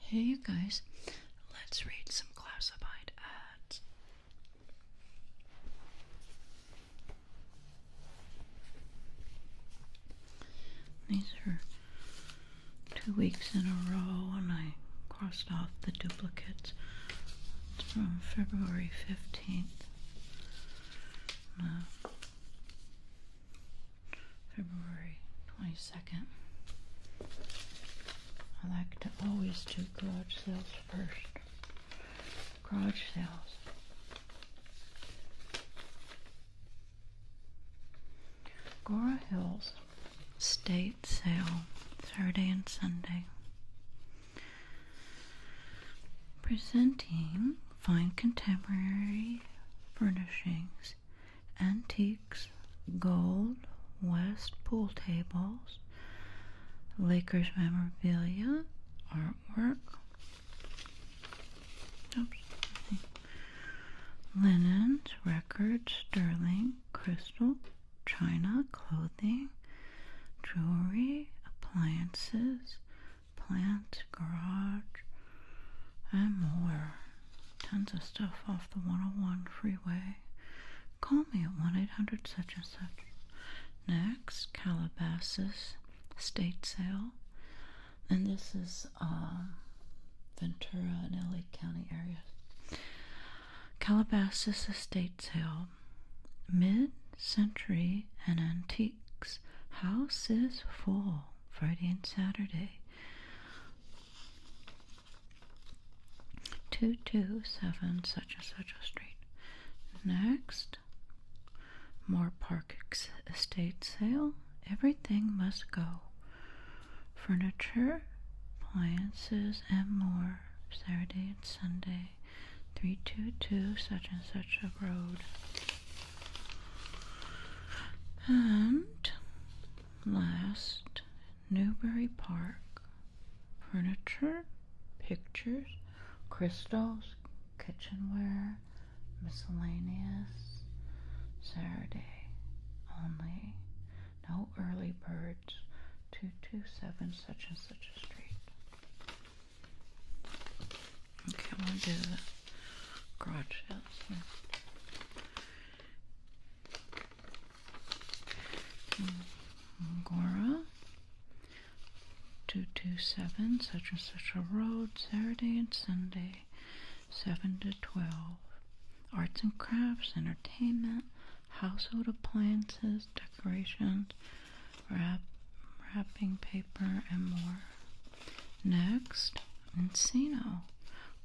Hey you guys, let's read some classified ads. These are two weeks in a row, and I crossed off the duplicates. It's from February 15th. February 22nd. I like to always do garage sales first. Garage sales. Gora Hills State Sale, Thursday and Sunday presenting fine contemporary furnishings, antiques, gold, west pool tables, Lakers memorabilia, artwork, linens, records, sterling, crystal, china, clothing, jewelry, appliances, plant, garage, and more. Tons of stuff off the 101 freeway. Call me at 1 800 such and such. Next, Calabasas State Sale. And this is um, Ventura and LA County areas. Calabasas Estate Sale. Mid century and antique weeks. Houses full Friday and Saturday. 227 such and such a street. Next, more park estate sale. Everything must go. Furniture, appliances, and more. Saturday and Sunday. 322 such and such a road and last newbury park furniture pictures crystals kitchenware miscellaneous saturday only no early birds 227 such and such a street Okay, I'm gonna do the garage house. Hmm, Angora, 227, such and such a road, Saturday and Sunday, 7 to 12. Arts and crafts, entertainment, household appliances, decorations, wrap, wrapping paper, and more. Next, Encino.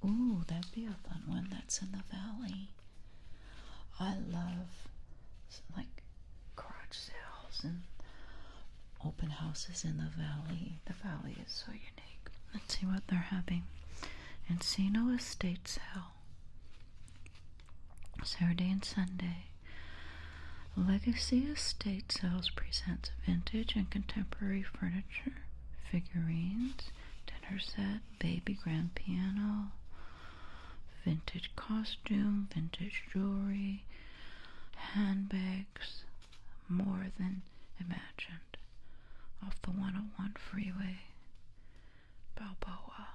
Ooh, that'd be a fun one. That's in the valley. I love like garage sales and open houses in the valley. The valley is so unique. Let's see what they're having. Encino Estates sale. Saturday and Sunday. Legacy Estate Sales presents vintage and contemporary furniture, figurines, dinner set, baby grand piano, vintage costume, vintage jewelry, handbags, more than imagined. Off the 101 freeway, Balboa.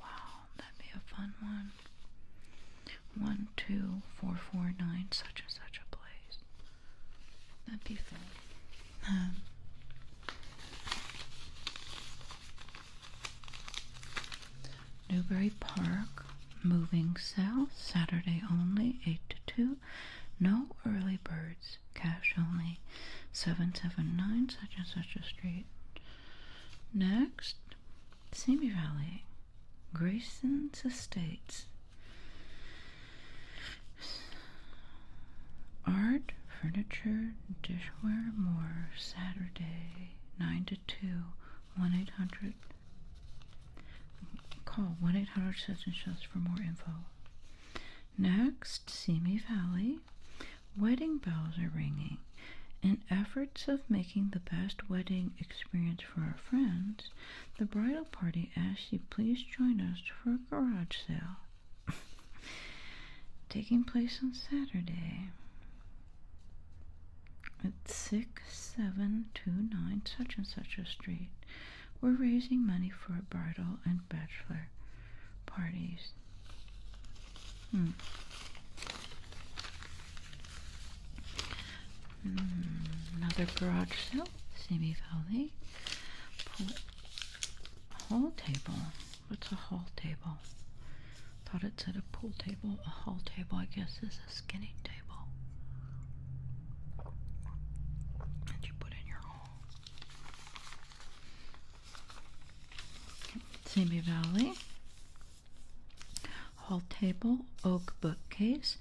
Wow, that'd be a fun one. One, two, four, four, nine, such and such a place. That'd be fun. Um, Newbury Park, moving south, Saturday only, 8 to 2. No early birds, cash only. 779 such and such a street. Next, Simi Valley, Grayson's Estates. Art, furniture, dishware, more. Saturday, 9 to 2, 1 800. Call 1 800 such and for more info. Next, Simi Valley, Wedding bells are ringing. In efforts of making the best wedding experience for our friends, the bridal party asks you please join us for a garage sale taking place on Saturday at 6729 such and such a street. We're raising money for a bridal and bachelor parties. Hmm. another garage sale, Simi Valley. Pool table. What's a hall table? Thought it said a pool table. A hall table, I guess, is a skinny table that you put in your hall. Simi Valley, hall table, oak bookcase,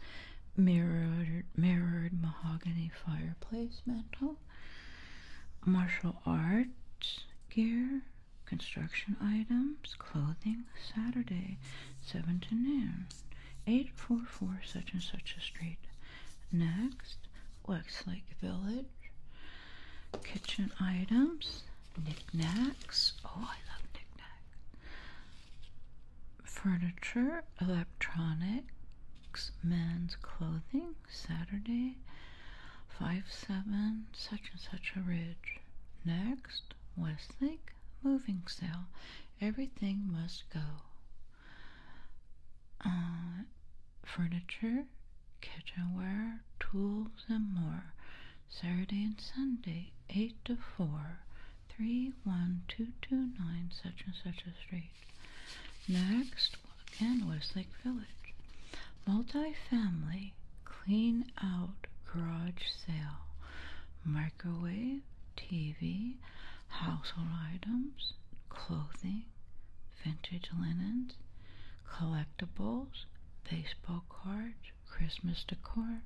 mirrored mirrored mahogany fireplace mantel, martial arts gear, construction items, clothing, Saturday, seven to noon, eight four four such and such a street. Next, looks like village. Kitchen items, knickknacks. Oh, I love knickknacks. Furniture, electronics, men's clothing, Saturday, 5 7, such and such a ridge. Next, Westlake, moving sale. Everything must go. Uh, furniture, kitchenware, tools, and more. Saturday and Sunday, 8 to 4, 31229 such and such a street. Next, again, Westlake Village. Multi-family clean out garage sale. Microwave, TV, household items, clothing, vintage linens, collectibles, baseball cards, Christmas decor,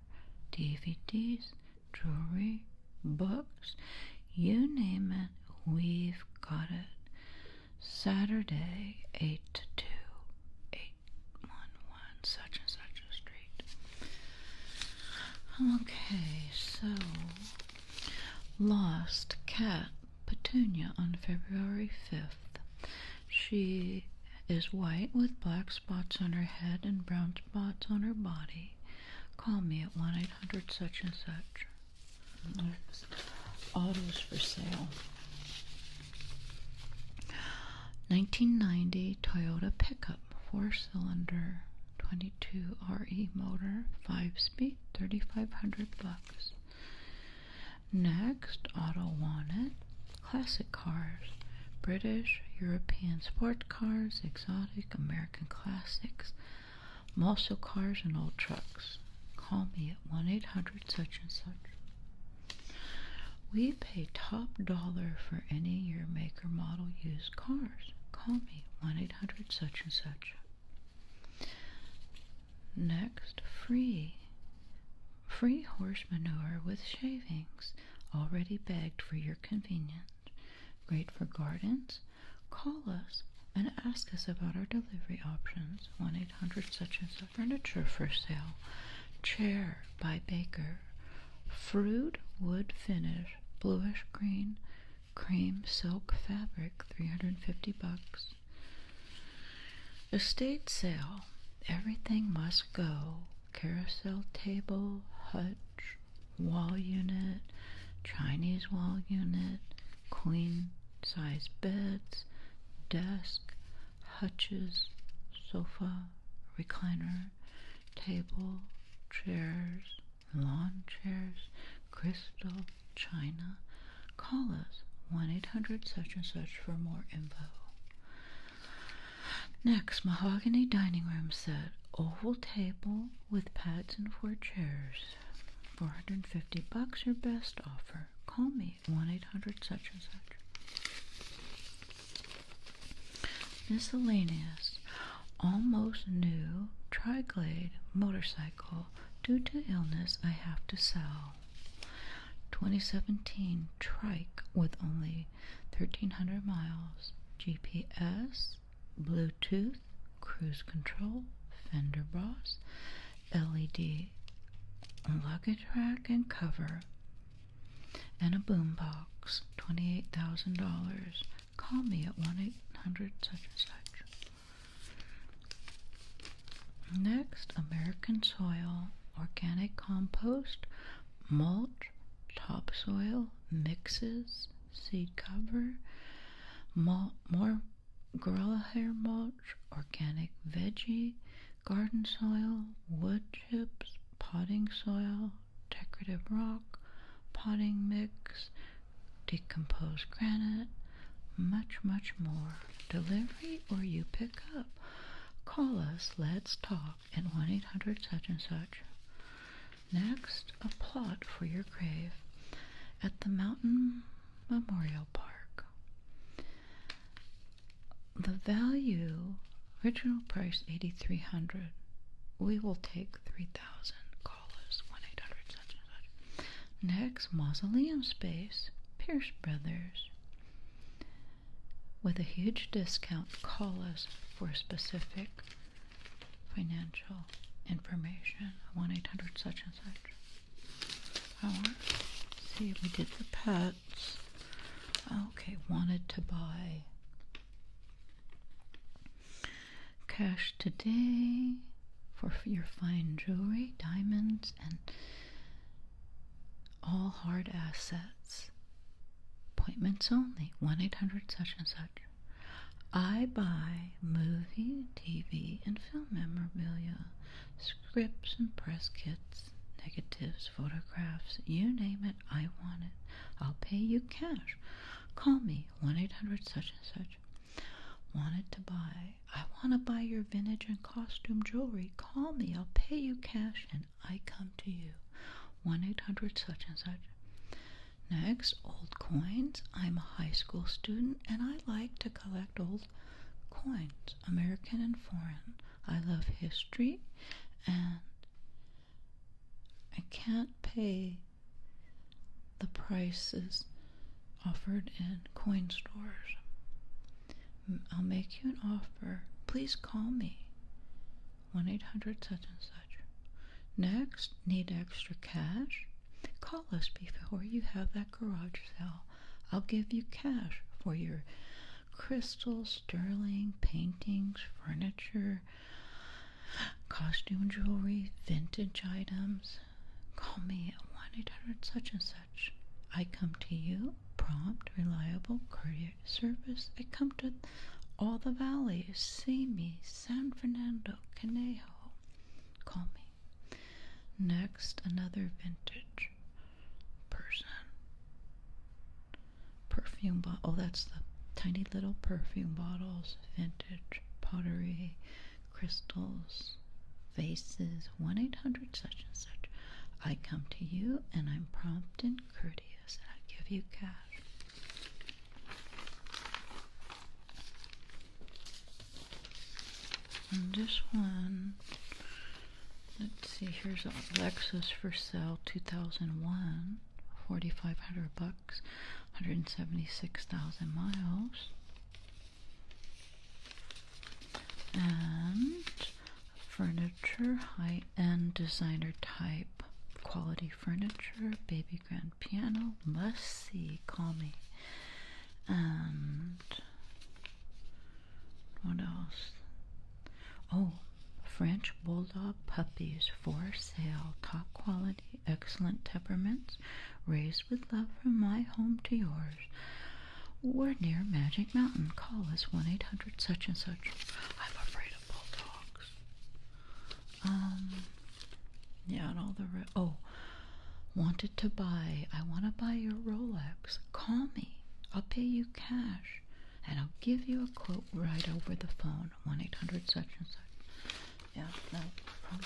DVDs, jewelry, books, you name it, we've got it. Saturday, 8 to 2, such and such a street. Okay, so lost cat Petunia on February 5th. She is white with black spots on her head and brown spots on her body. Call me at 1 800 such and such. autos for sale. 1990 Toyota pickup, four cylinder, 22 RE motor, five speed. 3500 bucks. Next, Auto Wanted. Classic cars. British, European sport cars, exotic, American classics, muscle cars, and old trucks. Call me at 1 800 such and such. We pay top dollar for any year, maker, model used cars. Call me 1 800 such and such. Next, free. Free horse manure with shavings, already bagged for your convenience. Great for gardens. Call us and ask us about our delivery options 1 800 such and such furniture for sale, chair by Baker, fruit wood finish, bluish green, cream silk fabric 350 bucks estate sale everything must go carousel table hutch wall unit chinese wall unit queen size beds desk hutches sofa recliner table chairs lawn chairs, crystal, china, call us 1 800 such and such for more info. Next, mahogany dining room set, oval table with pads and four chairs. 450 bucks your best offer. Call me 1 800 such and such. Miscellaneous almost new Tri Triglade motorcycle. Due to illness, I have to sell. 2017 trike with only 1300 miles, GPS, Bluetooth, cruise control, fender boss, LED luggage rack and cover, and a boombox. $28,000. Call me at 1 800 such and such. Next, American soil, organic compost, mulch, topsoil, mixes, seed cover, mul more gorilla hair mulch, organic veggie, garden soil, wood chips, potting soil, decorative rock, potting mix, decomposed granite, much, much more. Delivery or you pick up. Call us, let's talk at 1 800 such and such. Next, a plot for your grave at the Mountain Memorial Park. The value, original price 8300 We will take 3000 Next, mausoleum space, Pierce Brothers. With a huge discount, call us for specific financial information 1 800 such and such. I want see if we did the pets. Okay, wanted to buy Cash today for your fine jewelry, diamonds, and all hard assets. Appointments only. 1 800 such and such. I buy movie, TV, and film memorabilia, scripts and press kits, negatives, photographs, you name it, I want it. I'll pay you cash. Call me 1 800 such and such, wanted to buy, I want to buy your vintage and costume jewelry. Call me, I'll pay you cash and I come to you. 1 800 such and such. Next, old coins. I'm a high school student and I like to collect old coins, American and foreign. I love history and I can't pay the prices offered in coin stores. I'll make you an offer. Please call me. 1 800 such and such. Next, need extra cash? Call us before you have that garage sale. I'll give you cash for your crystal, sterling, paintings, furniture, costume jewelry, vintage items. Call me at 1 800 such and such. I come to you, prompt, reliable courteous service. I come to all the valley. See me, San Fernando, Conejo. Call me. Next, another vintage person. Perfume bottle. Oh, that's the tiny little perfume bottles, vintage pottery, crystals, vases. 1 800 such and such. I come to you and I'm prompt and courteous and I give you cash. And this one, let's see, here's a Lexus for sale 2001. 4500 bucks 176,000 miles and furniture high-end designer type quality furniture baby grand piano must see call me and what else oh French Bulldog puppies for sale. Top quality, excellent temperaments, raised with love from my home to yours. We're near Magic Mountain. Call us 1 800 such and such. I'm afraid of bulldogs. Um, yeah, and all the. Re oh, wanted to buy. I want to buy your Rolex. Call me. I'll pay you cash and I'll give you a quote right over the phone, one eight hundred such and such. Yeah, no, from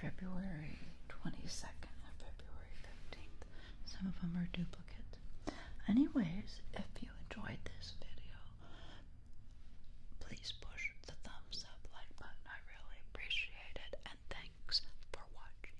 February twenty second and February fifteenth. Some of them are duplicates. Anyways, if you enjoyed this video, please push the thumbs up like button. I really appreciate it, and thanks for watching.